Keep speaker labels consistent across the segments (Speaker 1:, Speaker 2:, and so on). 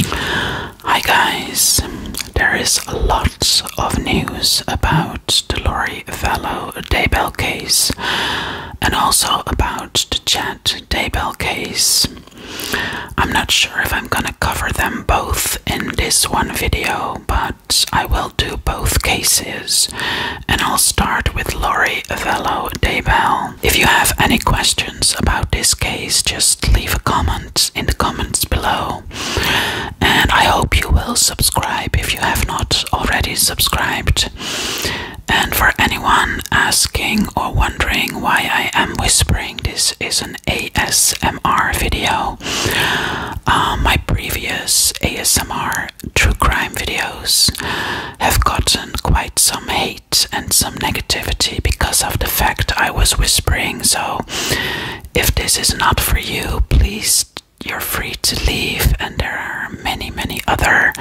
Speaker 1: Hi guys, there is lots of news about the Lori Vallow Daybell case and also about the Chad Daybell case. I'm not sure if I'm gonna cover them both in this one video, but I will do both cases and I'll start with Lori Vallow Daybell. If you have any questions about this case, just leave a comment in the comments below. And I hope you will subscribe if you have not already subscribed. And for anyone asking or wondering why I am whispering, this is an ASMR video. Uh, my previous ASMR true crime videos have gotten quite some hate and some negativity because of the fact I was whispering. So, if this is not for you, please, you're free to leave. And there are many, many other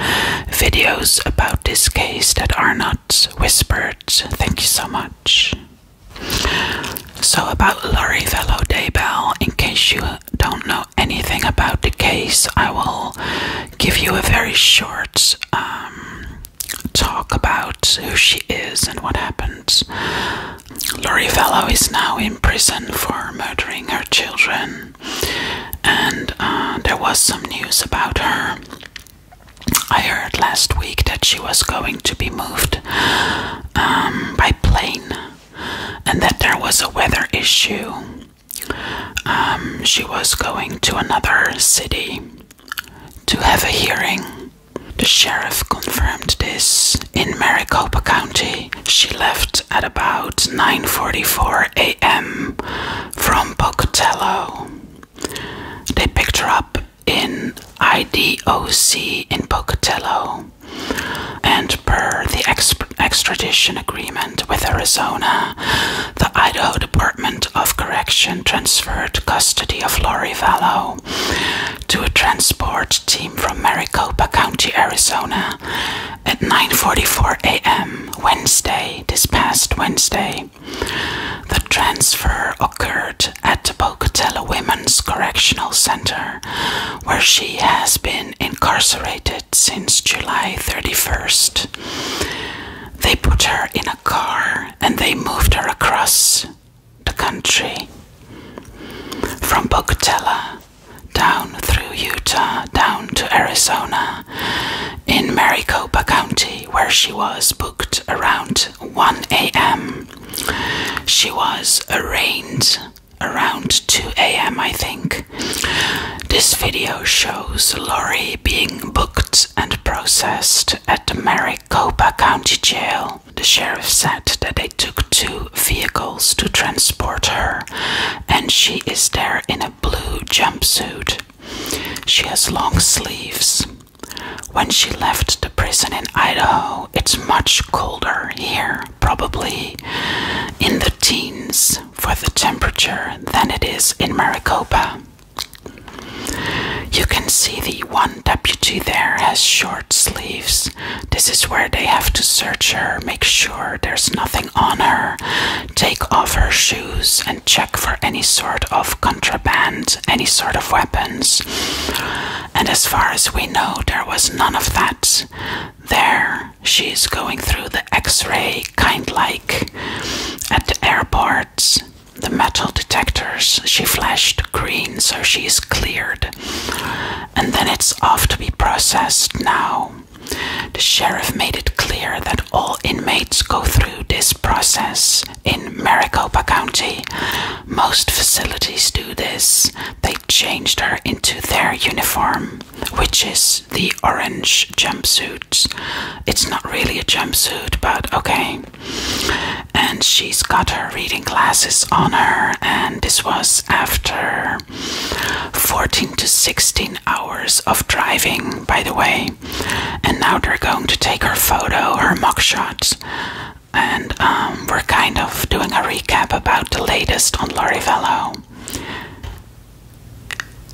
Speaker 1: videos about this case that are not whispered. Thank you so much. So, about Laurie Velo Daybell, in case you don't know anything about the case, I will give you a very short um, talk about who she is and what happened. Lori Fellow is now in prison for murdering her children, and uh, there was some news about her. I heard last week that she was going to be moved um, by plane and that there was a weather issue. Um, she was going to another city to have a hearing. The sheriff confirmed this. In Maricopa County, she left at about 9:44 a.m. from Pocatello. They picked her up in IDOC in Pocatello, and per the extradition agreement with Arizona, the Idaho Department of Correction transferred custody of Lori Vallow to a transport team from Maricopa County, Arizona at 9:44 a.m. Wednesday, this past Wednesday. The transfer occurred at the Pocatello Women's Correctional Center, where she has been incarcerated since July 31st. They put her in a car and they moved her across the country from Pocatello down through Utah, down to Arizona in Maricopa County, where she was booked around 1 a.m. She was arraigned around 2 a.m., I think. This video shows Lori being booked and processed at the Maricopa County Jail. The sheriff said that they took two vehicles to transport her, and she is there in a blue jumpsuit. She has long sleeves. When she left the prison in Idaho, it's much colder here, probably in the teens for the temperature than it is in Maricopa. You can see the one deputy there has short sleeves. This is where they have to search her, make sure there's nothing on her, take off her shoes, and check for any sort of contraband, any sort of weapons. And as far as we know, there was none of that. There, she's going through the x ray, kind like at the airports, the metal detectors, she flashed green, so she's cleared. And then it's off to be processed now. The sheriff made it clear that all inmates go through this process in Maricopa County. Most facilities do this. They changed her into their uniform, which is the orange jumpsuit. It's not really a jumpsuit, but okay. And she's got her reading glasses on her, and this was after 14 to 16 hours of driving, by the way. And now they're going to take her photo, her mugshot. And um, we're kind of doing a recap about the latest on Lorivello.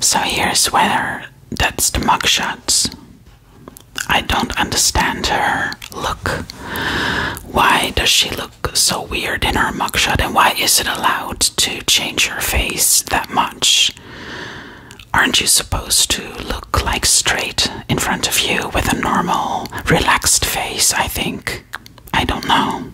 Speaker 1: So here's whether that's the mugshots. I don't understand her look. Why does she look so weird in her mugshot and why is it allowed to change her face that much? Aren't you supposed to look like straight in front of you with a normal, relaxed face? I think. I don't know.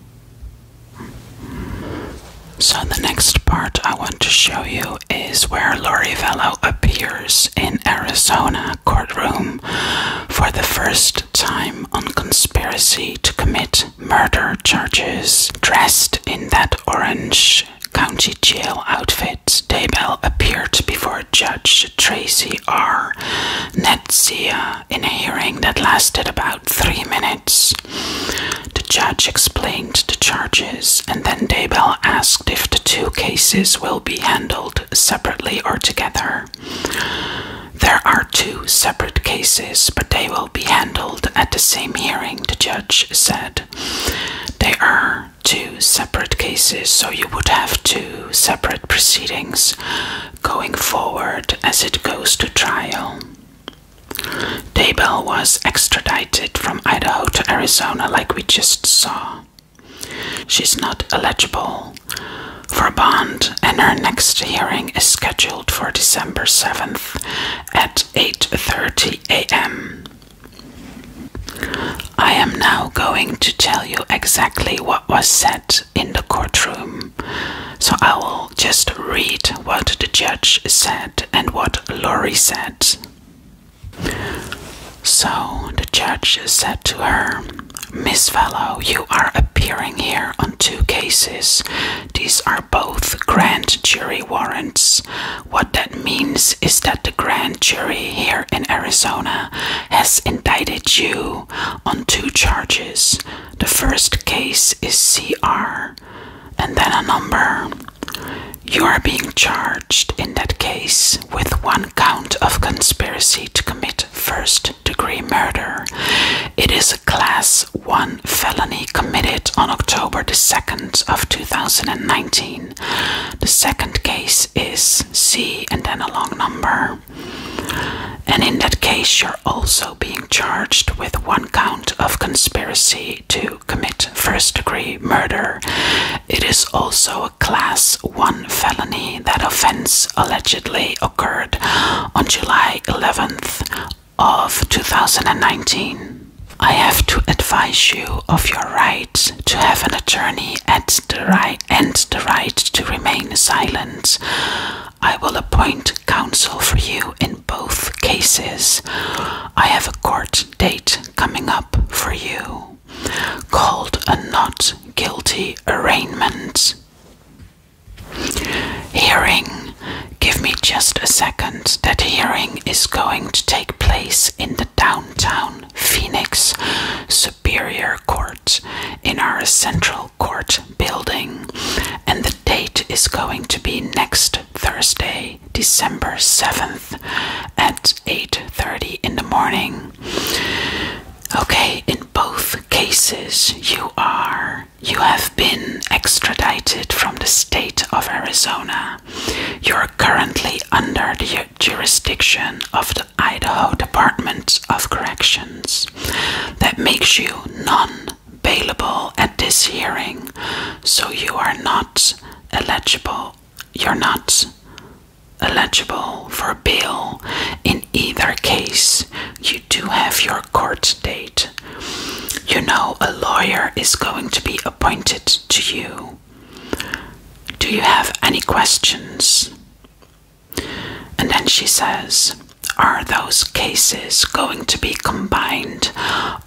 Speaker 1: So, the next part I want to show you is where Lori Vallow appears in Arizona courtroom for the first time on conspiracy to commit murder charges. Dressed in that orange county jail outfit, Daybell appeared before Judge Tracy R. Netsia in a hearing that lasted about three minutes. The judge explained the charges, and then Daybell asked if the two cases will be handled separately or together. There are two separate cases, but they will be handled at the same hearing, the judge said. They are two separate cases, so you would have two separate proceedings going forward as it goes to trial. Daybell was extradited from Idaho to Arizona, like we just saw. She's not eligible for bond, and her next hearing is scheduled for December 7th at 8:30 a.m. I am now going to tell you exactly what was said in the courtroom, so I will just read what the judge said and what Lori said. So the judge said to her, Miss Fellow, you are appearing here on two cases. These are both grand jury warrants. What that means is that the grand jury here in Arizona has indicted you on two charges the first case is CR and then a number. You are being charged in that case with one count of conspiracy to commit first degree murder. It is a class 1 felony committed on October the 2nd of 2019. The second case is C and then a long number. And in that case, you're also being charged with one count of conspiracy to commit first degree murder. It is also a Class 1 felony. That offense allegedly occurred on July 11th of 2019. I have to advise you of your rights to have an attorney and the right to remain silent. I will appoint counsel for you in both cases. I have a court date coming up for you called a not guilty arraignment. Hearing. Give me just a second. That hearing is going to take place in the downtown Phoenix Superior Court in our central court building, and the date is going to be next Thursday, December 7th at 8:30 in the morning. Okay, in both cases you are you have been extradited from the state of Arizona. You are currently under the jurisdiction of the Idaho Department of Corrections that makes you non bailable at this hearing, so you are not eligible. You're not eligible for bail in either case. You do have your court date. You know, a lawyer is going to be appointed to you. Do you have any questions? And then she says, Are those cases going to be combined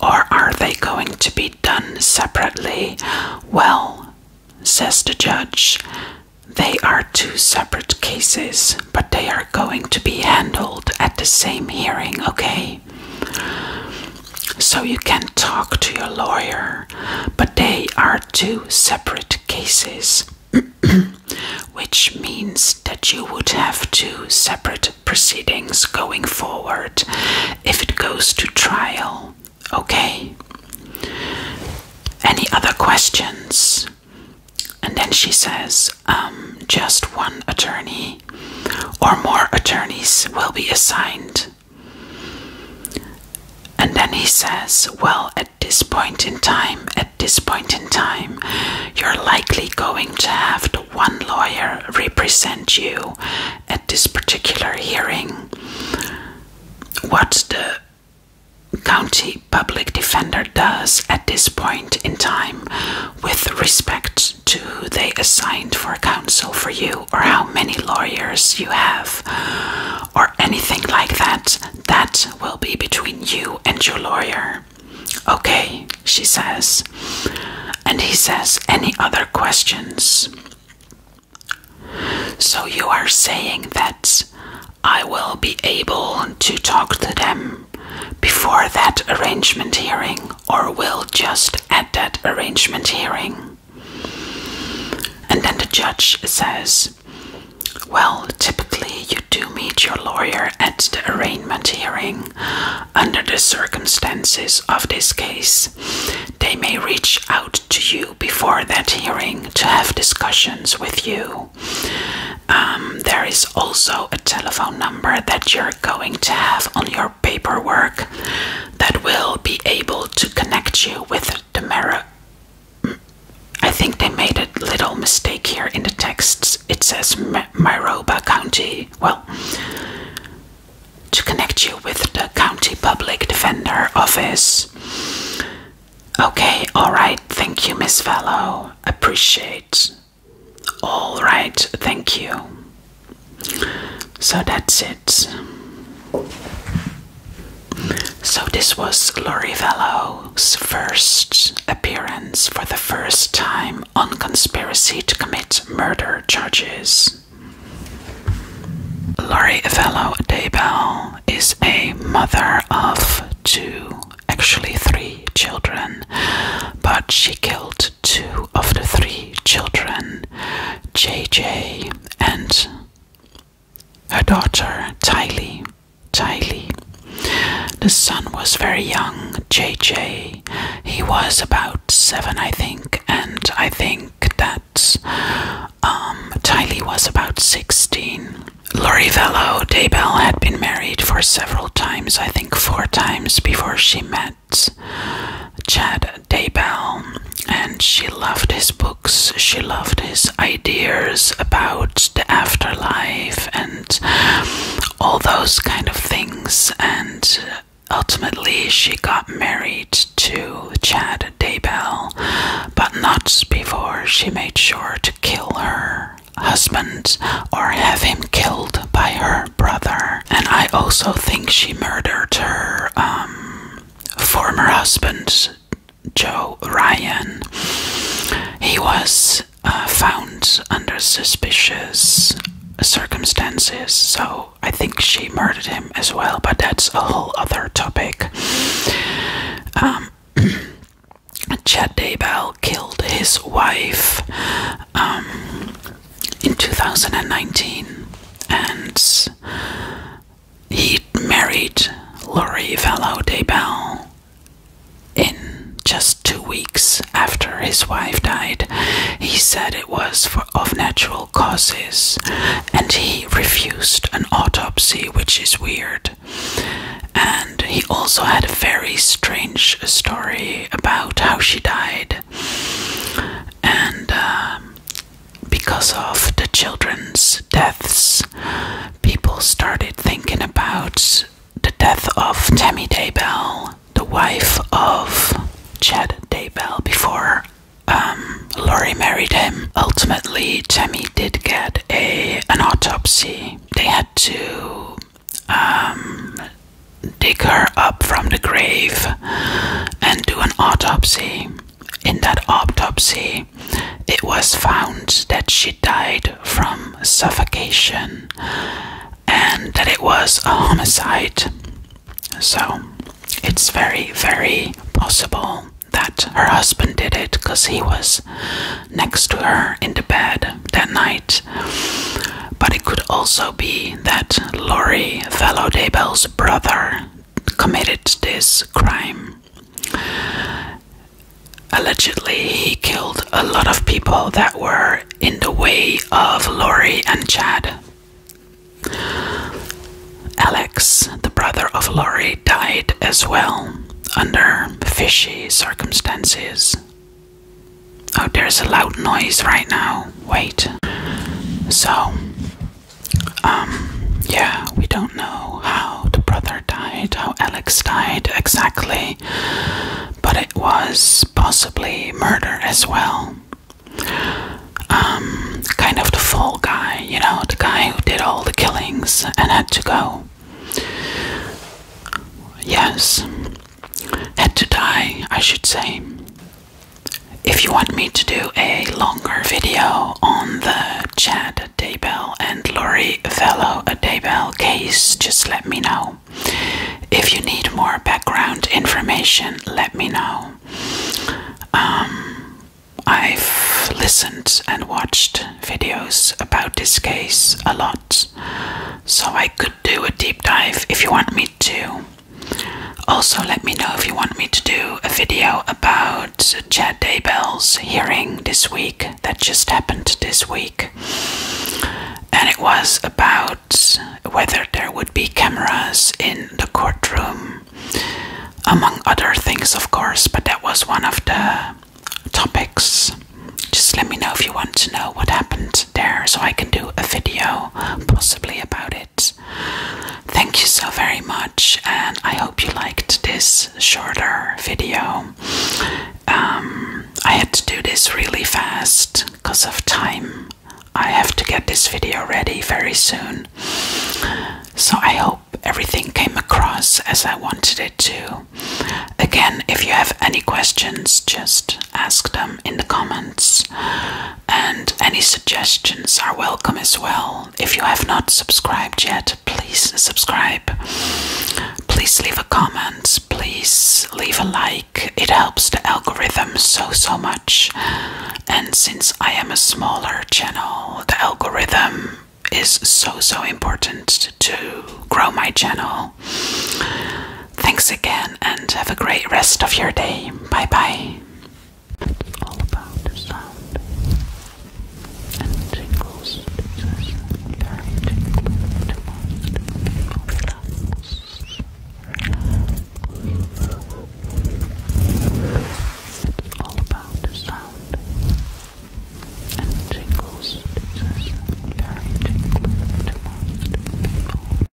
Speaker 1: or are they going to be done separately? Well, says the judge, they are two separate cases, but they are going to be handled at the same hearing, okay? So you can talk to your lawyer, but they are two separate cases. which means that you would have two separate proceedings going forward if it goes to trial. Okay? Any other questions? And then she says, um, just one attorney or more attorneys will be assigned. And then he says, Well, at this point in time, at this point in time, you're likely going to have the one lawyer represent you at this particular hearing. What the county public defender does at this point in time with respect to who they assigned for counsel for you or how many lawyers you have or anything like that. That will be between you and your lawyer. Okay, she says. And he says, Any other questions? So you are saying that I will be able to talk to them before that arrangement hearing, or will just at that arrangement hearing? And then the judge says, well, typically you do meet your lawyer at the arraignment hearing. Under the circumstances of this case, they may reach out to you before that hearing to have discussions with you. Um, there is also a telephone number that you're going to have on your paperwork that will be able to connect you with the I think they made a little mistake here in the texts. It says Myroba County. Well, to connect you with the County Public Defender Office. Okay, alright, thank you, Miss Fellow. Appreciate. Alright, thank you. So that's it. So, this was Lori Vallow's first appearance for the first time on conspiracy to commit murder charges. Lori Vallow Daybell is a mother of two, actually three children, but she killed two of the three children, JJ and her daughter Tylee. Tylee. The son was very young, JJ. He was about seven, I think, and I think that um, Tylee was about 16. Lori Vello Daybell had been married for several times, I think four times, before she met Chad Daybell and she loved his books, she loved his ideas about the afterlife and all those kind of things. And ultimately, she got married to Chad Daybell, but not before she made sure to kill her husband or have him killed by her brother. And I also think she murdered her um, former husband Joe Ryan. He was uh, found under suspicious circumstances, so I think she murdered him as well, but that's a whole other topic. Um, Chad Daybell killed his wife um, in 2019, and he married Laurie Vallow Daybell in just two weeks after his wife died. He said it was for of natural causes, and he refused an autopsy, which is weird. And he also had a very strange story about how she died. And um, because of the children's deaths, people started thinking about the death of Tammy Daybell, the wife of Chad Daybell, before um, Laurie married him. Ultimately, Tammy did get a an autopsy. They had to um, dig her up from the grave and do an autopsy in that autopsy, it was found that she died from suffocation and that it was a homicide. So it's very, very possible that her husband did it because he was next to her in the bed that night. But it could also be that Laurie Fellow Daybell's brother committed this crime. Allegedly, he killed a lot of people that were in the way of Lori and Chad. Alex, the brother of Lori, died as well under fishy circumstances. Oh, there's a loud noise right now. Wait. So, um, yeah, we don't know how the brother died, how Alex died exactly, but it was possibly murder as well. Um, kind of the fall guy, you know, the guy who did all the killings and had to go. Yes, had to die, I should say. If you want me to do a longer video on the Chad Daybell and Lori Fellow Daybell case, just let me know. If you need more background information, let me know. Um, I've listened and watched videos about this case a lot, so I could do a deep dive if you want me to. Also, let me know if you want me to do a video about Chad Daybell's hearing this week that just happened this week. And it was about whether there would be cameras in the courtroom, among other things, of course, but that was one of the topics. Just let me know if you want to know what happened there so I can do a video possibly about it. Thank you so very much, and I hope you liked this shorter video. Um, I had to do this really fast because of time. I have to get this video ready very soon. So I hope everything came across as I wanted it to. Again, if you have any questions, just ask them in the comments and any suggestions are welcome as well. If you have not subscribed yet, please subscribe. Please leave a comment, please leave a like. It helps the algorithm so so much. And since I am a smaller channel, the algorithm is so so important to grow my channel. Thanks again and have a great rest of your day. Bye bye all about the sound and tingles. It's very tingling to most It's all about the sound and tingles. It's very tingling to